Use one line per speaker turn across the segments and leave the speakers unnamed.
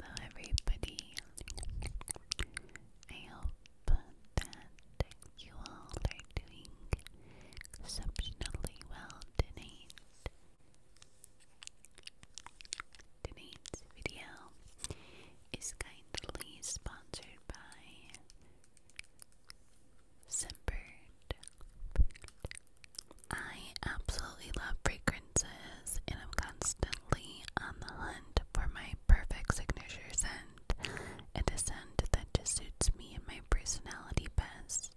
Hello everybody. I hope that you all are doing exceptionally well tonight. Tonight's video is kindly sponsored by Sempered I absolutely love fragrances and I'm constantly on the hunt for my perfect signature scent and a scent that just suits me and my personality best.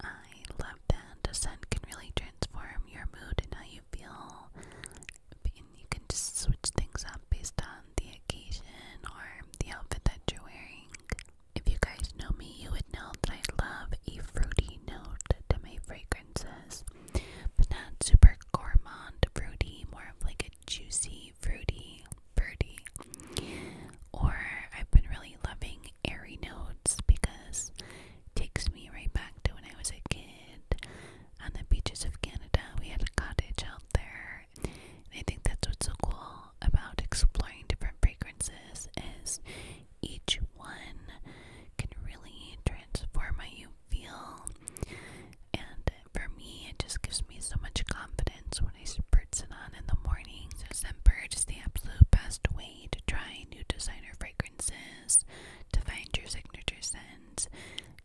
I love that a scent can really transform your mood and how you feel and you can just switch things up based on the occasion or the outfit that you're wearing. If you guys know me, you would know that I love a fruity note to my fragrances, but not super gourmand fruity, more of like a juicy, fruity, fruity. Or I've been really loving airy notes because it takes me right back to when I was a kid on the beaches of Canada. We had a cottage out there. And I think that's what's so cool about exploring different fragrances is each one can really transform how you feel. And for me, it just gives me so much confidence when I spritz it on in the morning. So, Scentbird is the absolute best way to try new designer fragrances, to find your signature scents,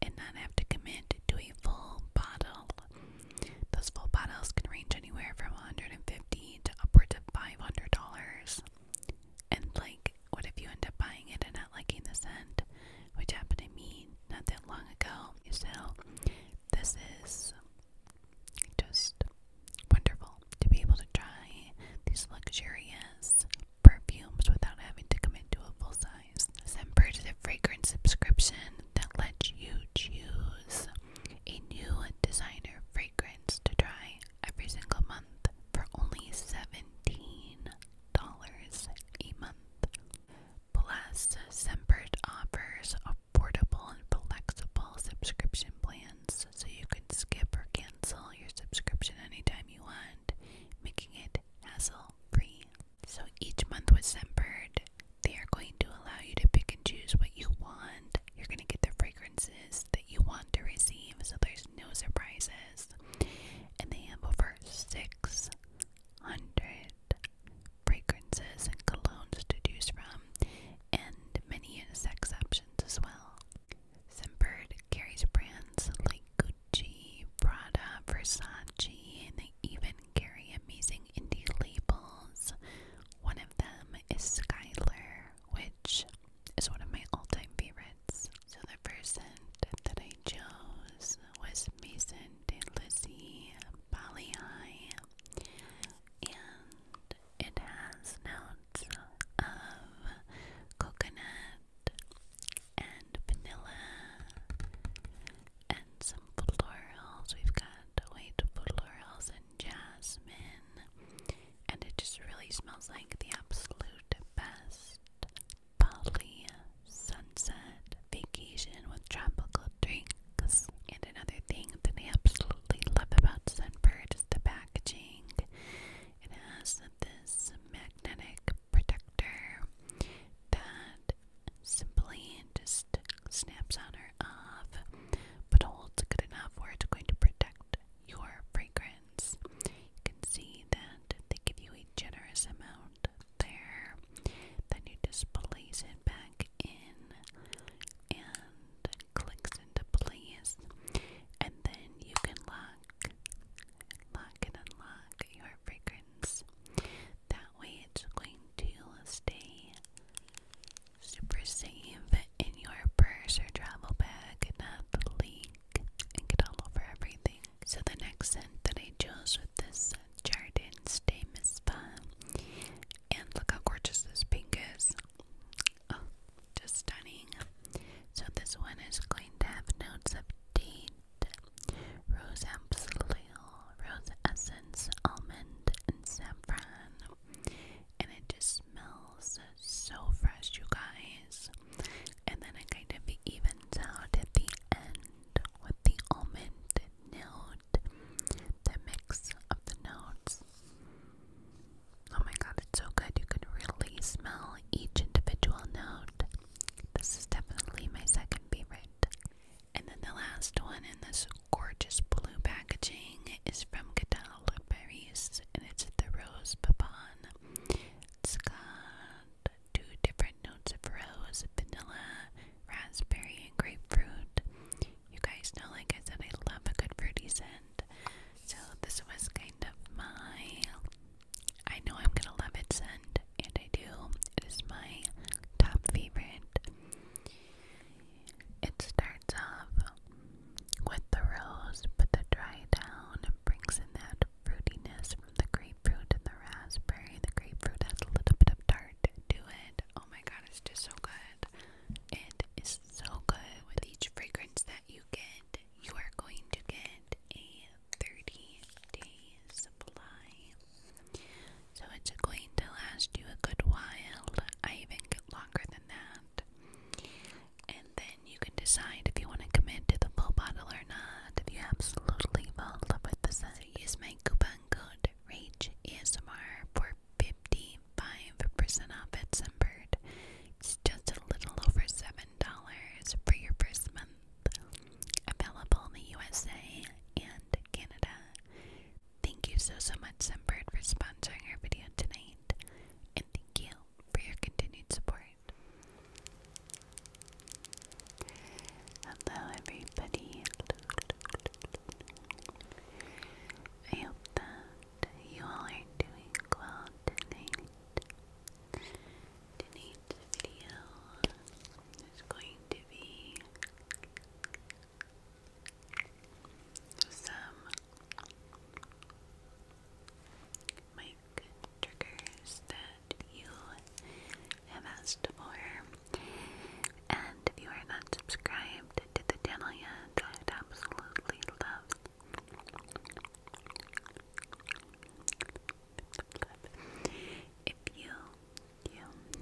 and not have to commit to a full bottle. Those full bottles can range anywhere from 150 fifty to upwards of five hundred dollars. And like, what if you end up buying it and not liking the scent, which happened to me not that long ago? So, this is just wonderful to be able to try these luxurious perfumes without having to commit to a full size. Semper is a fragrance subscription that lets you choose a new designer fragrance to try every single month for only $17 a month. Plus, Sempert offers affordable and flexible subscription plans so you can skip or cancel your subscription anytime you want, making it hassle free. So each month with Sempert, they are going to allow you to pick and choose what you want. You're going to get the fragrances that you want to receive, so there's no surprises. And they have over 600 fragrances and colognes to choose from, and many sex options as well. Scentbird carries brands like Gucci, Prada, Versace, and they even carry amazing indie labels. One of them is Skyler which is one of my all time favorites. So, the person that I chose was Mason de Lizzie and it has notes of coconut and vanilla and some florals. We've got white florals jasmine, and it just really smells like the absolute best. Bali sunset vacation with tropical drinks. And another thing that I absolutely love about Sunbird is the packaging. It has this magnetic protector that simply just snaps on or off but holds good enough where it's going to protect your fragrance. You can see that they give you a generous amount there. Then you just place it back in and clicks into place. And then you can lock, lock and unlock your fragrance. That way it's going to stay super safe in your purse or travel bag, not leak and get all over everything. So the next scent that I chose with this Jardin Stay Spa, and look how gorgeous this pink is. Oh, just stunning. So this one is going to have notes of tea, rose absolute, rose essence, almond, and saffron and it just smells so fresh, you guys. And then it kind of evens out at the end with the almond note, the mix of the notes. Oh my god, it's so good. You can really smell each individual note. This is definitely my second favorite. And then the last one in this gorgeous blue packaging is from Catalogue Paris and it's the Rose Papon. It's got two different notes of rose, vanilla, raspberry, and grapefruit. You guys know, like I said, I love a good fruity scent. So this was kind of my I know I'm gonna love it scent, and I do. It is my top favorite. It starts off with the rose, but the dry down brings in that fruitiness from the grapefruit and the raspberry. The grapefruit has a little bit of tart to it. Oh my god, it's just so good. It is so good. With each fragrance that you get, you are going to get a 30 day supply so it's going to last you a good while. I even get longer than that. And then you can decide if you want to commit to the full bottle or not. If you absolutely fall in love with the scent, use my coupon code RAGEASMR for 55% off at Sunbird. It's just a little over $7 for your first month. Available in the USA and Canada. Thank you so, so much, Sunbird, for sponsoring our video tonight. And thank you for your continued support. Hello, everybody. I hope that you all are doing well tonight. Tonight's video is going to be some mic triggers that you have asked for. And if you are not subscribed to the channel yet, I'd absolutely love. If you, you,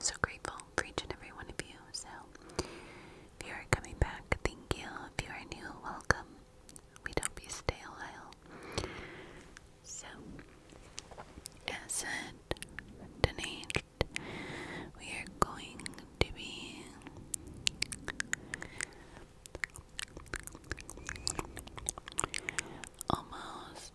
so grateful for each and every one of you. So, if you are coming back, thank you. If you are new, welcome. We hope you stay a while. So, as it tonight, we are going to be. Almost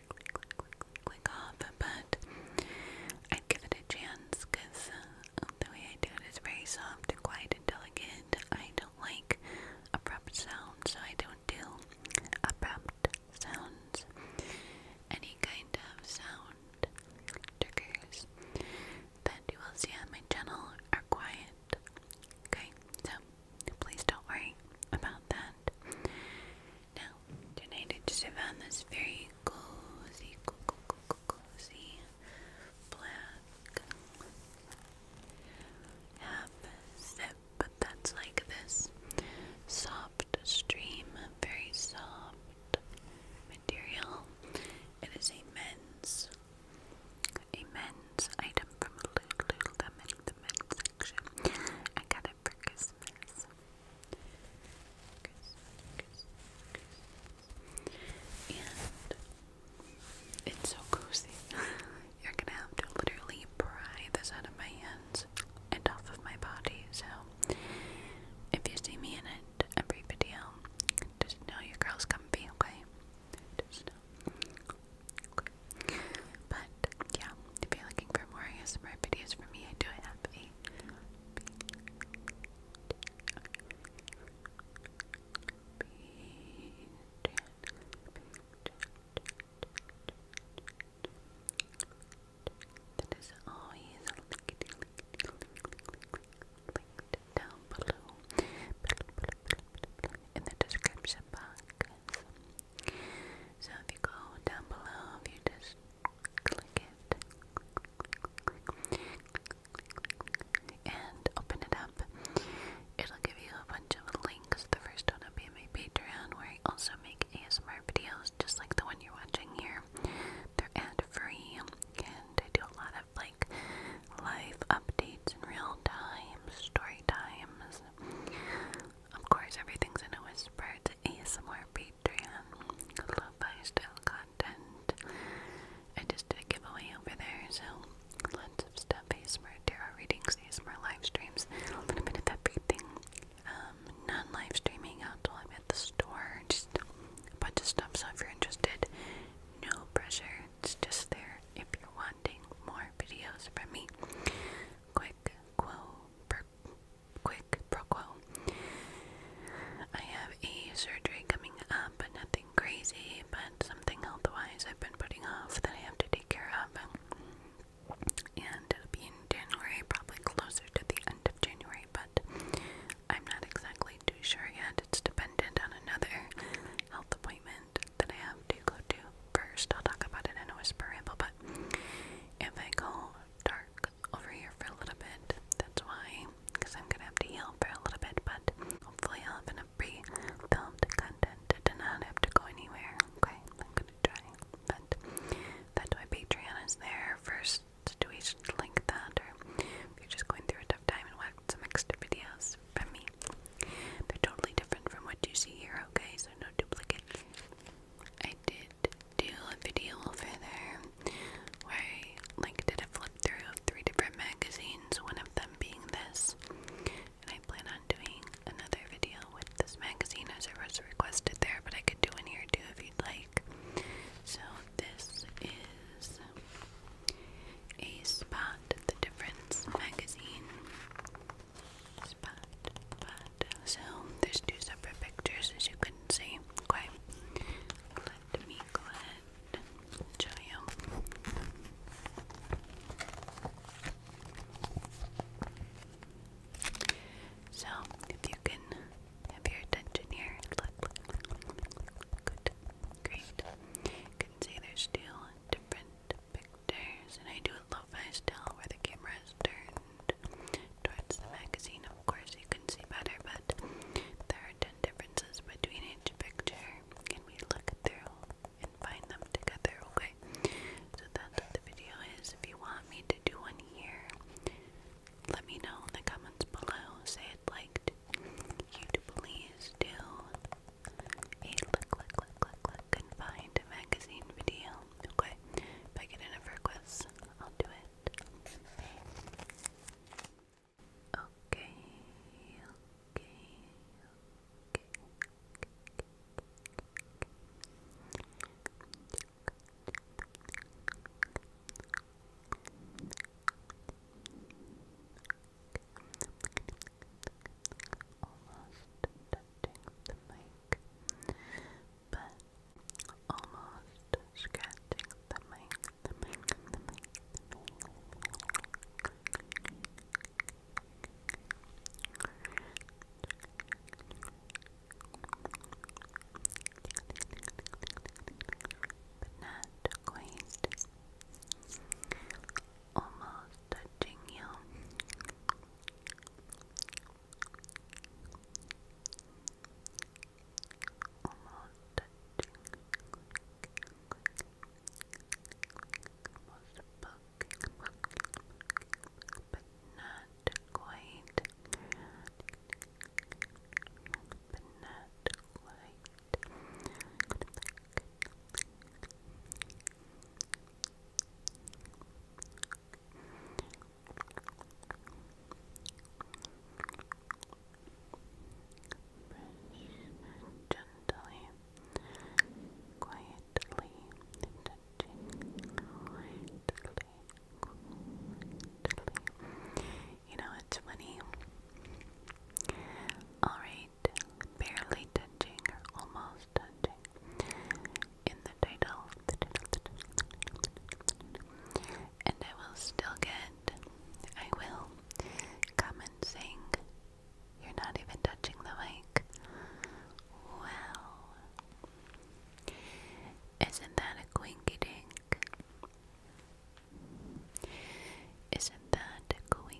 off, but i give it a chance because uh, the way I do it is very soft and quiet and delicate. I don't like abrupt sounds, so I don't do abrupt sounds. Any kind of sound triggers that you will see on my channel are quiet. Okay, so Please don't worry about that. Now, tonight I just found this very cozy, cozy, black half zip, but that's like this soft stream, very soft material. It is a men's. A men's item from Lululemon, the the I got it for Christmas. And it's so cozy. You're gonna have to literally pry this out of my hands and off of my body. So if you see me in it every video, just know your girl's comfy, okay? But yeah, if you're looking for more ASMR videos from me, I do have a that is always down below in the description box. So if you go down below, if you just click it, and open it up, it'll give you a bunch of links. The first one will be my Patreon, where I also make ASMR videos, just like the one you're watching here. They're ad-free, and I do a lot of like live updates in real time, story times, of course, everything's in a whisper. It's ASMR Patreon. lo content. I just did a giveaway over there, so lots of stuff. ASMR tarot readings, ASMR live streams, a little bit of everything. Um, non-live streaming out till I'm at the store. Just a bunch of stuff, so if you're interested, no pressure. It's just there if you're wanting more videos from me. Quick quo quick pro quo. I have a surgery coming up, but nothing crazy, but something health wise I've been putting off that I have to take care of. And it'll be in January, probably closer to the end of January, but I'm not exactly too sure yet. It's dependent on another health appointment that I have to go to first. I'll talk about it in a whisper ramble, but if I go dark over here for a little bit, that's why, because I'm gonna have to yell for a little bit, but hopefully I'll have enough pre-filmed content to not have to go anywhere. Okay, I'm gonna try, but that's why Patreon is there first. Do we link that, or if you're just going through a tough time and watch some extra videos? from me. They're totally different from what you see here, okay? So no duplicates. I did do a video over there where I like did a flip through of three different magazines, one of them being this. And I plan on doing another video with this magazine as it was requested there, but I could do one here too if you'd like. So this is a Spot the Difference magazine. Spot, spot. So there's two separate pictures as you can see. Okay. Let me go ahead show you. So if you can have your attention here, look, look, good, great. can see there's two different pictures and I do a lo-fi still where the camera is turned towards the magazine. Of course, you can see better, but there are 10 differences between each picture, Can we look through and find them together, okay? So that's what the video is. If you want me to do one here, let me know in the comments below. Say I'd like you to please do a look, look, look, look, look, confined magazine video. Okay, if I get enough requests, I'll do it. Okay, okay, okay, okay almost touching the mic, but almost scratching the mic, not quite. Almost touching you. Almost touching. Almost poking, but not quite. But not quite gently, quietly, touching, quietly, You know, it's twenty. Alright, barely touching or almost touching in the title. And I will still get, I will come and sing. You're not even touching the mic. Wow. Isn't that a quinky dink? Isn't that a quinky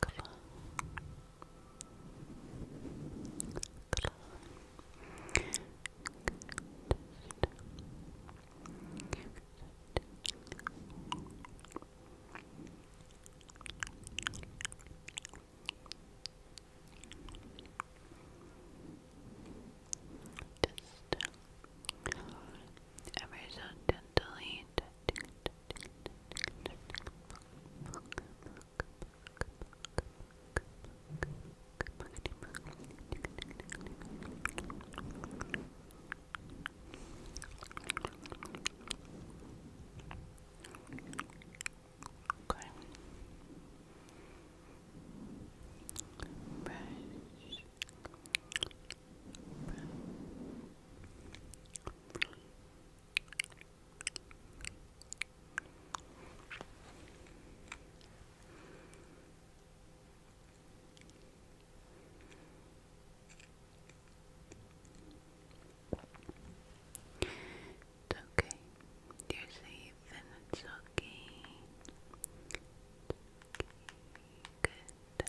Claw. Claw. just uh, ever so gently Okay. Brush. Brush. Brush. Brush. It's okay. You're safe and it's okay. okay. Good.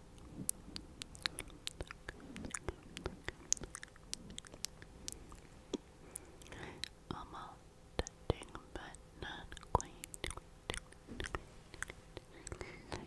I'm all touching, but not quite. Good. Back, back, back, back, time.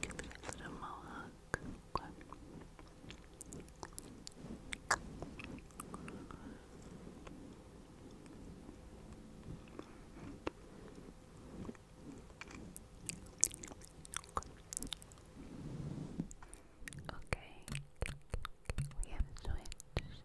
Give it a little mohawk. Good. Okay, we have switched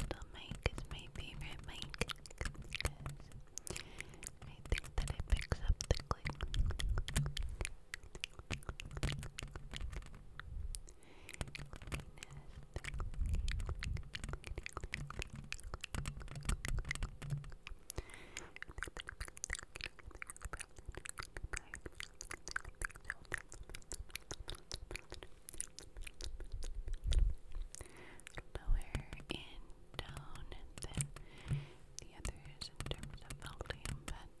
Little Mike is my favorite Mike because I think that it picks up the click. I lower in tone than the others in terms of volume, but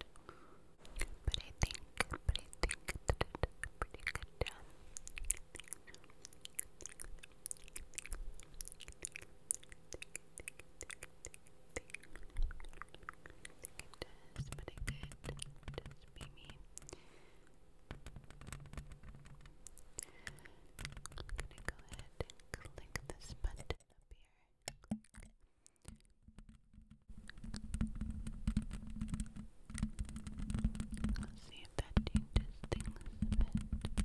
but I think but I think that it's a pretty good job. I think it does, be me. I'm gonna go ahead and click this button up here. Let's see if that changes things a bit.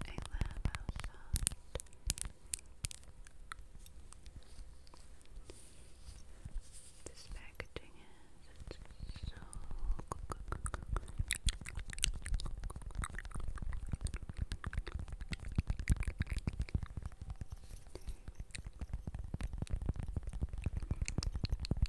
I love this packaging is. so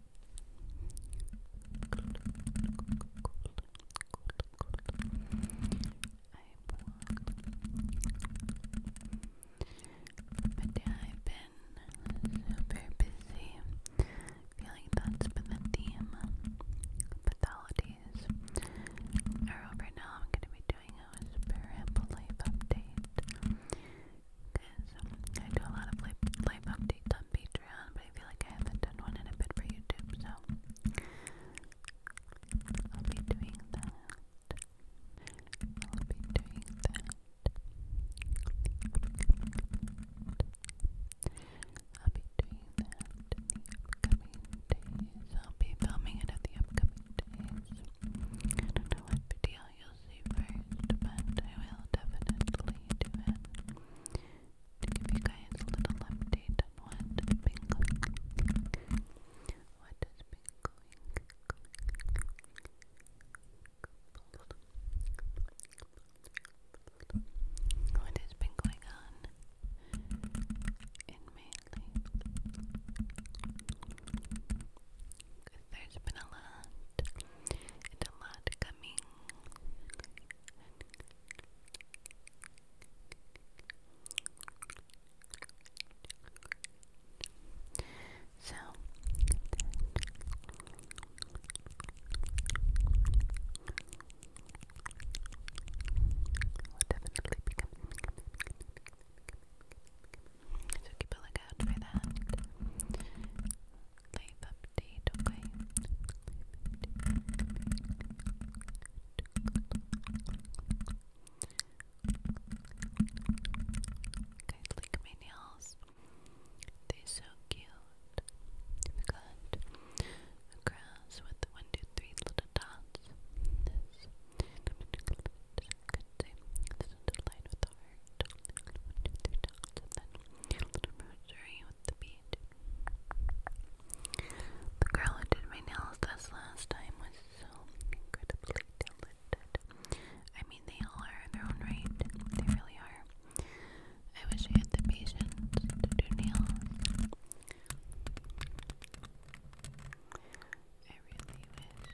But yeah, I've been super busy. I feel like that's now. I'm going to be doing a super ample life update because um, I do a lot of life, updates on Patreon, but I feel like I haven't done one in a bit for YouTube, so I'll be doing that. I'll be doing that. I'll be doing that upcoming days. I'll be filming it at the upcoming days. I don't know what video you see first, but I will definitely do it to give you guys a little update on what has been going what what has been going on in my there's been a lot a lot coming. So will definitely become so keep a lookout for that life update, okay? Guys, like my nails. They're so cute. We got with one, two, three little dots. This. Could say line with the and then the girl who did my nails last time was so incredibly talented. I mean, they all are in their own right. They really are. I wish I had the patience to do nails. I really wish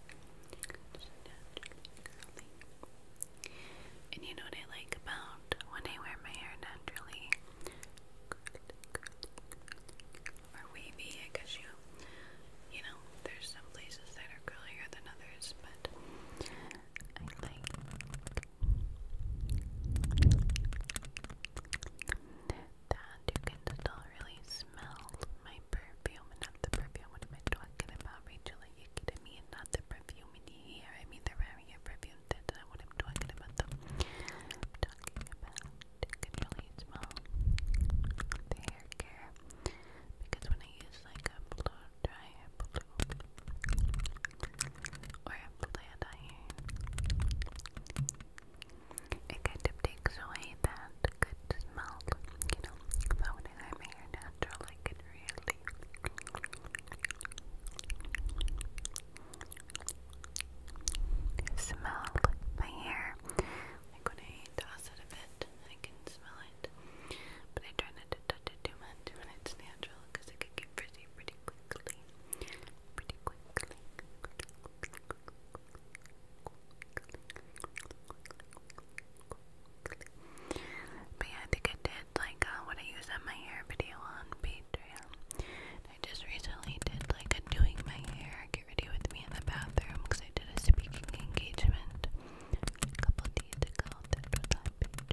Just And you know what I like about when I wear my hair naturally or wavy, I you you know, there's some places that are curlier than others, but I like that you can still really smelled my perfume, not the perfume. What am I talking about, Rachel? Are you kidding me? not the perfume in the here. I mean, the Rarier perfume. That's not uh, what I'm talking about, I'm talking about could smell the hair care because when I use like a blow dryer blue or a flat iron, it kind of takes away that good smell, you know, but when I'm hair natural, I can really smell my hair. Like when I toss it a bit, I can smell it, but I try not to touch it too much when it's natural because it can get frizzy pretty quickly. Pretty quickly. But I think I did like uh, what I used on my hair video on Patreon. I just recently did like a doing my hair, get ready with me in the bathroom because I did a speaking engagement a couple days ago that was on Patreon.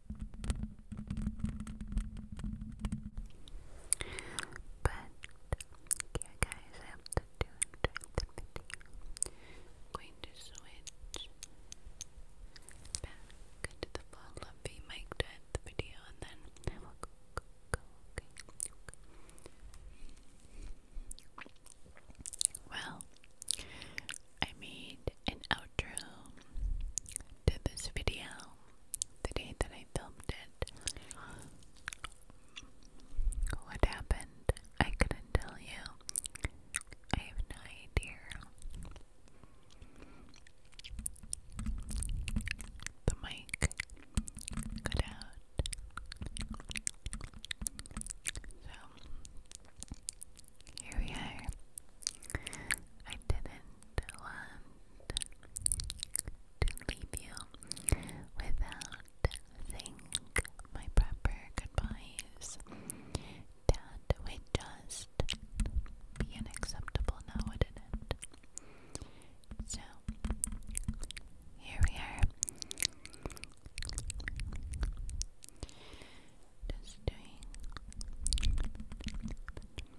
But guys, I hope that you enjoyed going to switch back to the full lovey mic to end the video and then I will go go go okay. Well, I made an outro to this video, the day that I filmed it. What happened? I couldn't tell you. I have no idea. The mic got out. So, here we are. I didn't want to leave you without saying my proper goodbyes. That would just be unacceptable now, wouldn't it? So, here we are. Just doing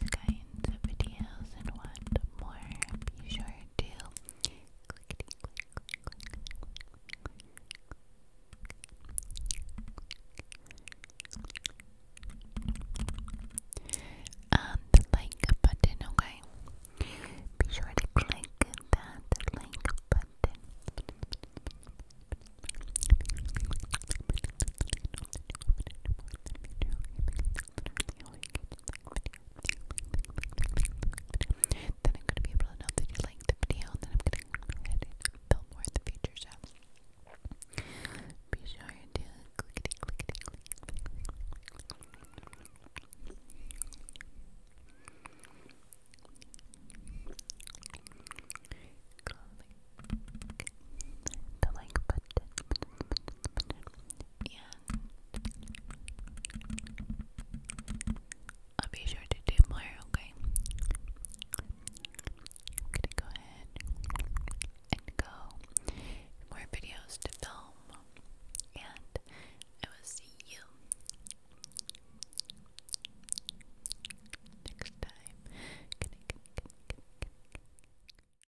these kinds of videos and want more, be sure to click um, the like button, okay? Be sure to click that like button literally Then I'm gonna be able to know that you like the video, and then I'm gonna go more in be sure to clickety clickety click. the like button, button, I'll be sure to do more, okay? go ahead and go more videos to film, and I will see you next time.